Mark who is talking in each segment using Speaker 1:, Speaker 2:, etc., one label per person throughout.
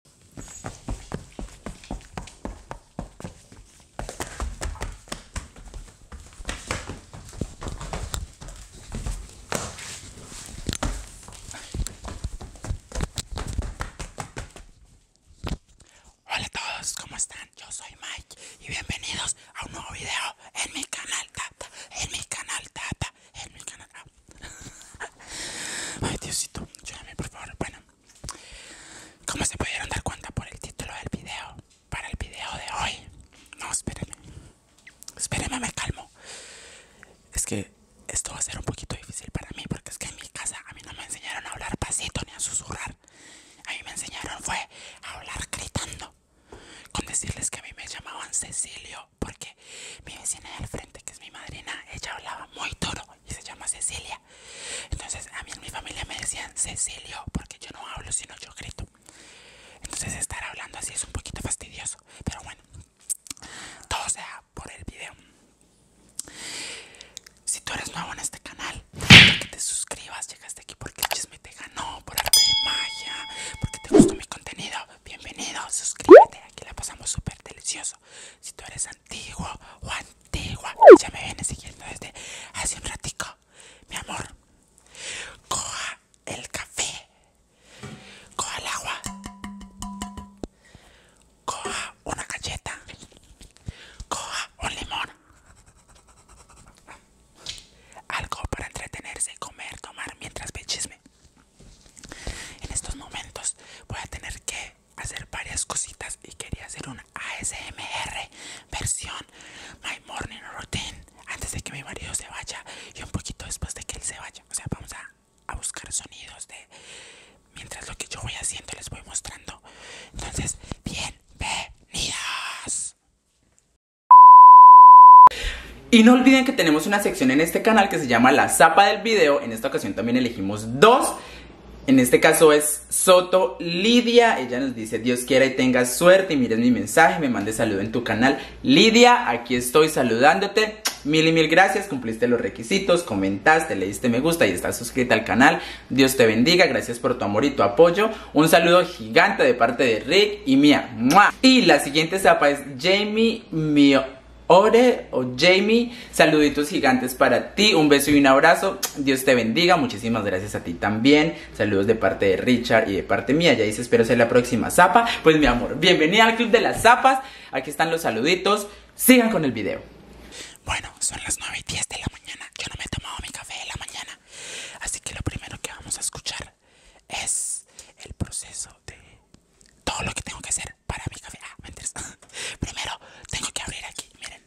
Speaker 1: Hola a todos, ¿cómo están? Yo soy Mike y bienvenidos a un nuevo video en mi canal Tata, en mi canal Tata, en mi canal. Ay, Diosito, ayúdame por favor. Bueno, ¿Cómo se pudieron dar cuenta por el título del video, para el video de hoy, no, espérenme, espérenme, me calmo. Es que esto va a ser un poquito difícil para mí, porque es que en mi casa a mí no me enseñaron a hablar pasito ni a susurrar. A mí me enseñaron fue a hablar gritando. Con decirles que a mí me llamaban Cecilio, porque mi vecina de al frente, que es mi madrina, ella hablaba muy duro, y se llama Cecilia. Entonces a mí en mi familia me decían Cecilio porque yo no hablo sino yo grito. Entonces estar hablando así es un poquito fastidioso, pero bueno, todo sea por el video. Si tú eres nuevo en este canal, que te suscribas, llegaste aquí porque el chisme te ganó, por arte de magia, porque te gustó mi contenido, bienvenido, suscríbete, aquí la pasamos súper delicioso. Si tú eres antiguo o antigua ya me viene siguiendo desde hace un ratico mi amor coja el café coja el agua coja una galleta coja un limón algo para entretenerse comer tomar mientras me chisme en estos momentos voy a tener que hacer varias cositas y quería hacer una ASMR versión My Morning Routine antes de que mi marido se vaya y un poquito después de que él se vaya. O sea, vamos a, a buscar sonidos de mientras lo que yo voy haciendo les voy mostrando.
Speaker 2: Entonces, bienvenidos. Y no olviden que tenemos una sección en este canal que se llama La Zapa del Video, en esta ocasión también elegimos dos. En este caso es Soto Lidia. Ella nos dice, Dios quiera y tenga suerte. Y mires mi mensaje, me mandes saludo en tu canal. Lidia, aquí estoy saludándote. Mil y mil gracias, cumpliste los requisitos, comentaste, le diste me gusta y estás suscrita al canal. Dios te bendiga, gracias por tu amor y tu apoyo. Un saludo gigante de parte de Rick y mía. Y la siguiente zapa es Jamie Mio Ore o Jamie, saluditos gigantes para ti, un beso y un abrazo, Dios te bendiga, muchísimas gracias a ti también, saludos de parte de Richard y de parte mía, ya dice espero ser la próxima zapa, pues mi amor, bienvenida al Club de las Zapas, aquí están los saluditos, sigan con el video. Bueno, son las 9 y 10 de la mañana, yo no me he tomado mi
Speaker 1: café de la mañana, así que lo primero que vamos a escuchar es el proceso de todo lo que tengo que hacer para mi café. Ah, mentiras Primero tengo que abrir aquí. Miren,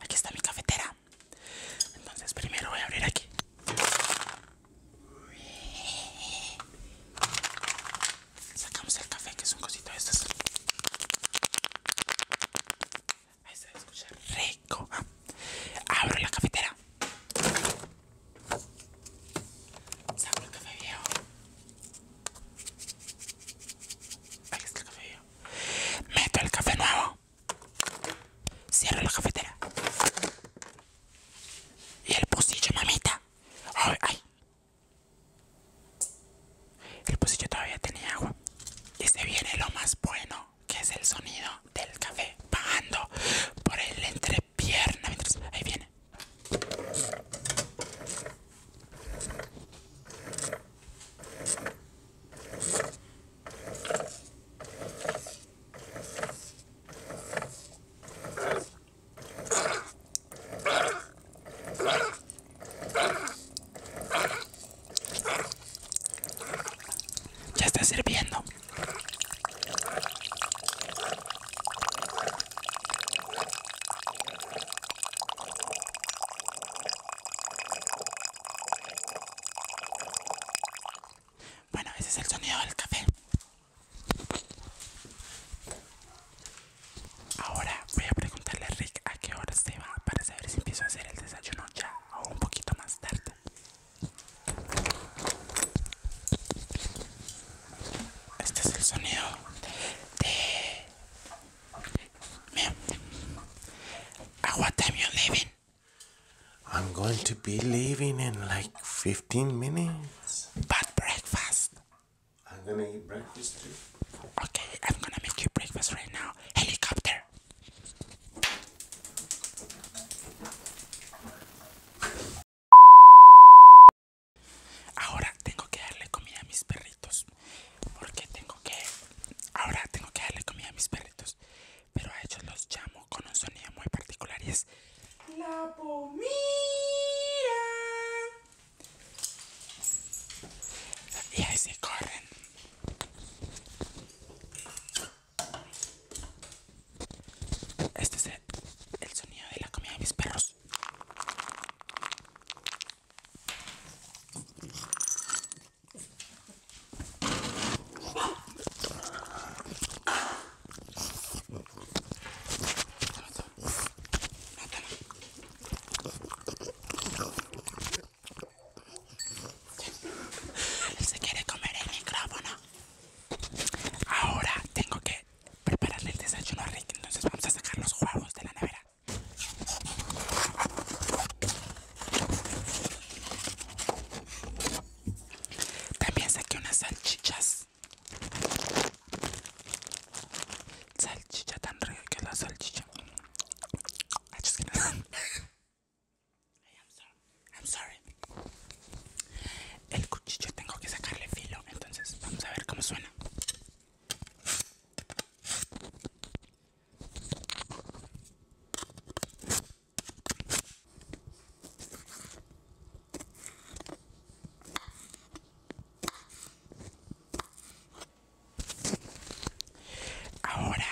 Speaker 1: aquí está mi cafetera. Entonces, primero voy a abrir aquí. Sacamos el café, que es un cosito. de estos Ahí se escucha rico. Abro la cafetera. Saco el café viejo. Ahí está el café. Meto el café nuevo. Cierro la cafetera. Y el pocillo, mamita. El pocillo todavía tenía agua. Y se viene lo más bueno, que es el sonido del café bajando por el entrepierna. ahí viene. Ya está sirviendo. Bueno, ese es el sonido del café. Ahora voy a preguntarle a Rick a qué hora se va para saber si empiezo a hacer el desayuno ya o un poquito más tarde. At what time you leaving? I'm going to be leaving in like 15 minutes. But breakfast. I'm gonna eat breakfast too. Okay, I'm gonna make you breakfast right now. Helicopter. Ahora tengo que darle comida a mis perritos. Porque tengo que... Ahora tengo que darle comida a mis perritos. Pero a ellos los llamo con un sonido muy particular y es... La comida Y ahí se corren. Este es el, el sonido de la comida de mis perros. se quiere comer el micrófono. Ahora tengo que prepararle el desayuno a Rick. Entonces vamos a sacar los huevos de la nevera. También saqué unas salchichas. Salchicha tan rica que la salchicha. I'm sorry el cuchillo tengo que sacarle filo, entonces vamos a ver cómo suena. Ahora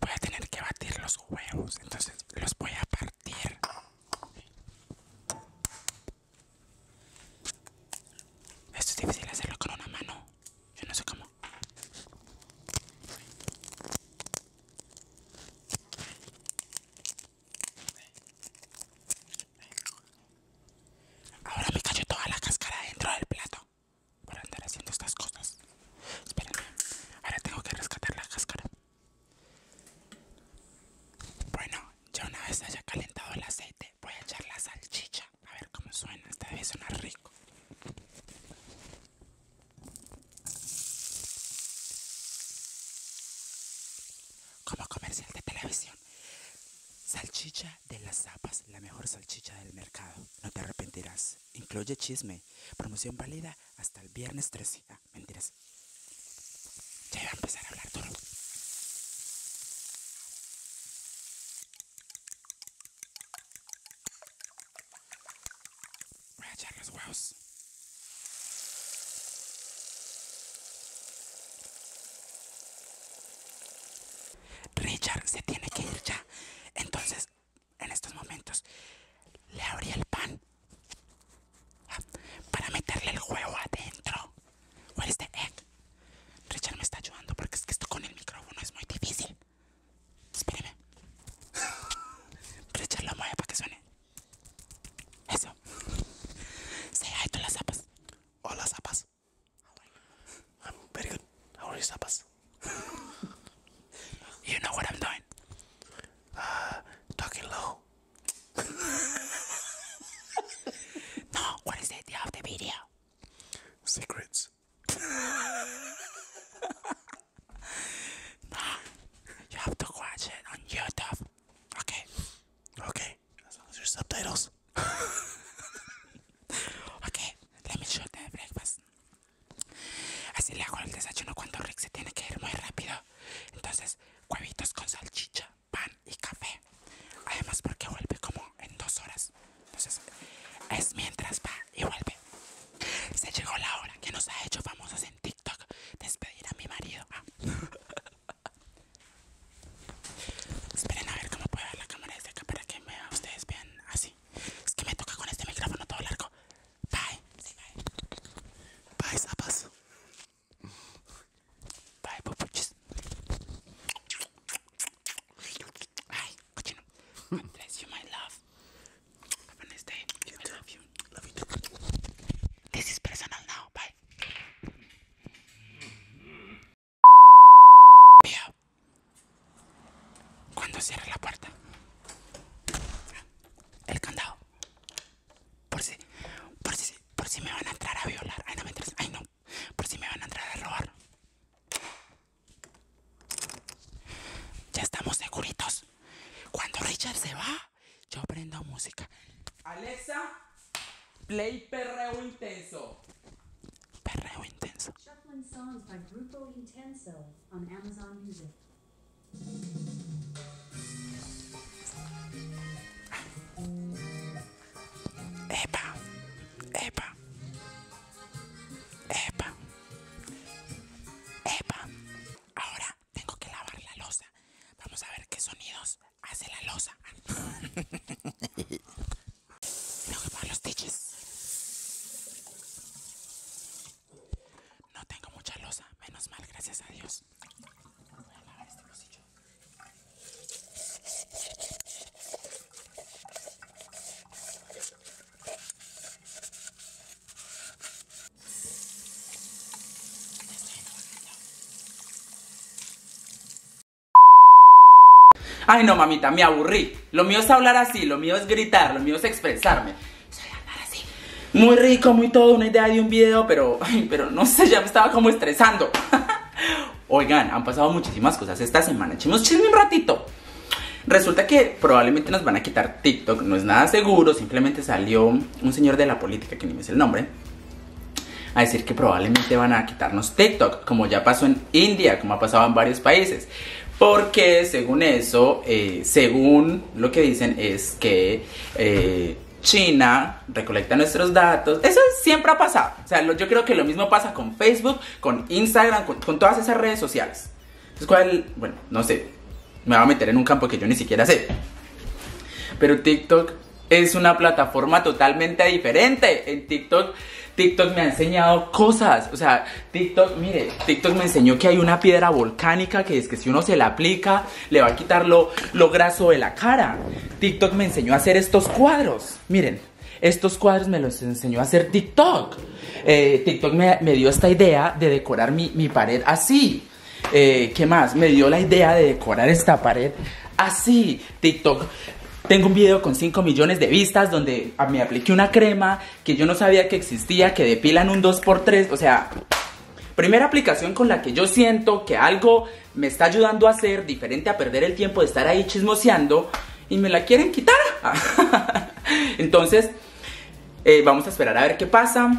Speaker 1: voy a tener que batir los huevos, entonces los voy a partir. Esto es difícil hacerlo con una mano. Yo no sé cómo. Ahora me cayó toda la cáscara dentro del plato por andar haciendo estas cosas. Espérame, ahora tengo que rescatar la cáscara. Bueno, ya una vez haya calentado el aceite, voy a echar la salchicha. A ver cómo suena, esta debe sonar rico. Como comercial de televisión. Salchicha de las zapas, la mejor salchicha del mercado. No te
Speaker 2: arrepentirás. Incluye chisme. Promoción válida
Speaker 1: hasta el viernes 13 mentiras. Ya iba a empezar a hablar todo. Voy a echar los huevos. Richard se tiene que ir ya. Entonces, en estos momentos, le abrí el pan para meterle el juego adentro. ¿Cuál es the egg? Richard me está ayudando porque es que esto con el micrófono es muy difícil. Espéreme. Richard lo mueve para que suene. Eso. Say hi to las zapas. Hola zapas. I'm very good. How are zapas? you know what I'm doing? Ah, talking low no, what es the idea de video? Secrets. no, you have to watch it on YouTube. Okay. Okay. así los subtitles. okay, let me show the breakfast. Así le hago el desayuno cuando Rick se tiene que ir muy rápido. Entonces, huevitos con salchicha pan y café. Además porque vuelve como en dos horas. Entonces es mientras va y vuelve. Se llegó la hora que nos ha hecho famosas en TikTok. Despedir a mi marido. Ah. Esperen a ver cómo puedo ver la cámara desde acá para que ustedes vean así. Es que me toca con este micrófono todo largo. Bye. bye. Bye, zapas. Bye, papuches. Ay, cochino. you, my love. Have a day. Este, love you. Love you too. This is personal now. Bye. Cuando cierre la puerta. El candado. Por si, por si, por si me van a entrar a violar. Ay, no me Ay, no. Por si me van a entrar a robar.
Speaker 2: Ya estamos seguritos. Cuando Richard se va, yo prendo música. Alexa, play perreo intenso. Perreo intenso.
Speaker 1: Epa, epa, epa, epa. Ahora tengo que lavar la losa. Vamos a ver qué sonidos hace la losa. tengo que lavar los tiches. No tengo mucha losa, menos mal, gracias a Dios.
Speaker 2: Ay no mamita, me aburrí Lo mío es hablar así, lo mío es gritar Lo mío es expresarme muy rico, muy todo, una idea de un video, pero, pero no sé, ya me estaba como estresando. Oigan, han pasado muchísimas cosas esta semana. Echemos chisme un ratito. Resulta que probablemente nos van a quitar TikTok, no es nada seguro, simplemente salió un señor de la política, que ni me sé el nombre, a decir que probablemente van a quitarnos TikTok, como ya pasó en India, como ha pasado en varios países. Porque según eso, eh, según lo que dicen es que eh, China recolecta nuestros datos. Eso siempre ha pasado. O sea, yo creo que lo mismo pasa con Facebook, con Instagram, con, todas esas redes sociales. Es cual, Bueno, no sé. Me va a meter en un campo que yo ni siquiera sé. Pero TikTok es una plataforma totalmente diferente. En TikTok, TikTok me ha enseñado cosas. O sea, TikTok, mire, TikTok me enseñó que hay una piedra volcánica que es que si uno se la aplica, le va a quitar lo, graso de la cara. TikTok me enseñó a hacer estos cuadros. Miren, estos cuadros me los enseñó a hacer TikTok. Eh, TikTok me, dio esta idea de decorar mi, pared así. Eh, ¿Qué más? Me dio la idea de decorar esta pared así. TikTok tengo un video con 5 millones de vistas donde me apliqué una crema que yo no sabía que existía, que depilan un 2x3, o sea, Primera aplicación con la que yo siento que algo me está ayudando a hacer diferente a perder el tiempo de estar ahí chismoseando y me la quieren quitar. Entonces, eh, vamos a esperar a ver qué pasa.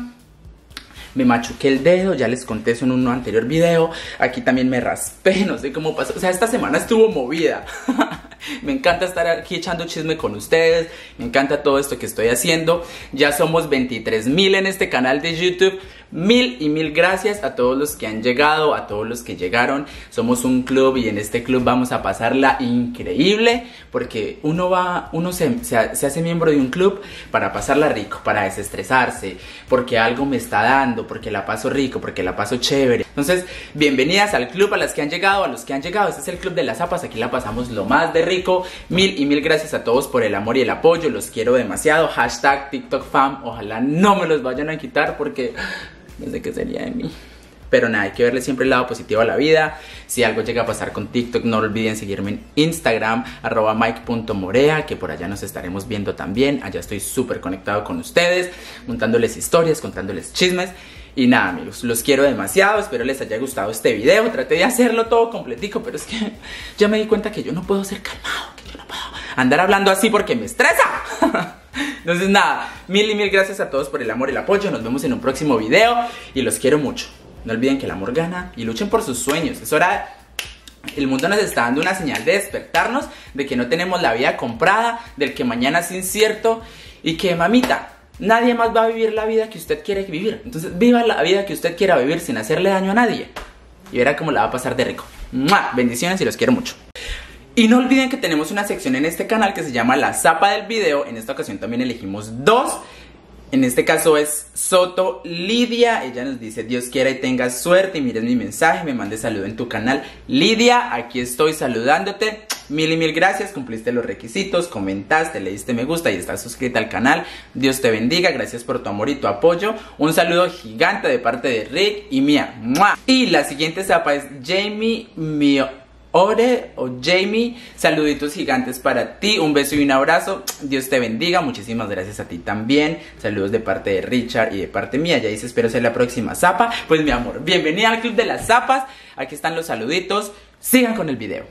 Speaker 2: Me machuqué el dedo, ya les conté eso en un anterior video. Aquí también me raspé, no sé cómo pasó. O sea, esta semana estuvo movida. me encanta estar aquí echando chisme con ustedes. Me encanta todo esto que estoy haciendo. Ya somos 23 mil en este canal de YouTube. Mil y mil gracias a todos los que han llegado, a todos los que llegaron. Somos un club y en este club vamos a pasarla increíble porque uno va, uno se, hace miembro de un club para pasarla rico, para desestresarse, porque algo me está dando, porque la paso rico, porque la paso chévere. Entonces, bienvenidas al club, a las que han llegado, a los que han llegado. Este es el club de las zapas, aquí la pasamos lo más de rico. Mil y mil gracias a todos por el amor y el apoyo. Los quiero demasiado. Hashtag TikTok Ojalá no me los vayan a quitar porque ah, no sé qué sería de mí. Pero nada, hay que verle siempre el lado positivo a la vida. Si algo llega a pasar con TikTok, no olviden seguirme en Instagram, arroba mike.morea, que por allá nos estaremos viendo también. Allá estoy súper conectado con ustedes, contándoles historias, contándoles chismes. Y nada amigos, los quiero demasiado, espero les haya gustado este video, traté de hacerlo todo completico, pero es que ya me di cuenta que yo no puedo ser calmado, que yo no puedo andar hablando así porque me estresa. Entonces nada, mil y mil gracias a todos por el amor y el apoyo. Nos vemos en un próximo video y los quiero mucho. No olviden que el amor gana y luchen por sus sueños. Es hora... El mundo nos está dando una señal de despertarnos, de que no tenemos la vida comprada, del que mañana es incierto y que mamita, nadie más va a vivir la vida que usted quiere vivir. Entonces, viva la vida que usted quiera vivir sin hacerle daño a nadie. Y verá cómo la va a pasar de rico. más Bendiciones y los quiero mucho. Y no olviden que tenemos una sección en este canal que se llama La Zapa del Video. En esta ocasión también elegimos dos. En este caso es Soto Lidia. Ella nos dice, Dios quiera y tenga suerte. Y mires mi mensaje, me mande saludo en tu canal. Lidia, aquí estoy saludándote. Mil y mil gracias, cumpliste los requisitos, comentaste, le diste me gusta y estás suscrita al canal. Dios te bendiga, gracias por tu amor y tu apoyo. Un saludo gigante de parte de Rick y mía, Y la siguiente zapa es Jamie Mio. o Jamie, saluditos gigantes para ti, un beso y un abrazo, Dios te bendiga, muchísimas gracias a ti también, saludos de parte de Richard y de parte mía, ya dice espero ser la próxima zapa, pues mi amor, bienvenida al Club de las Zapas, aquí están los saluditos, sigan con el video.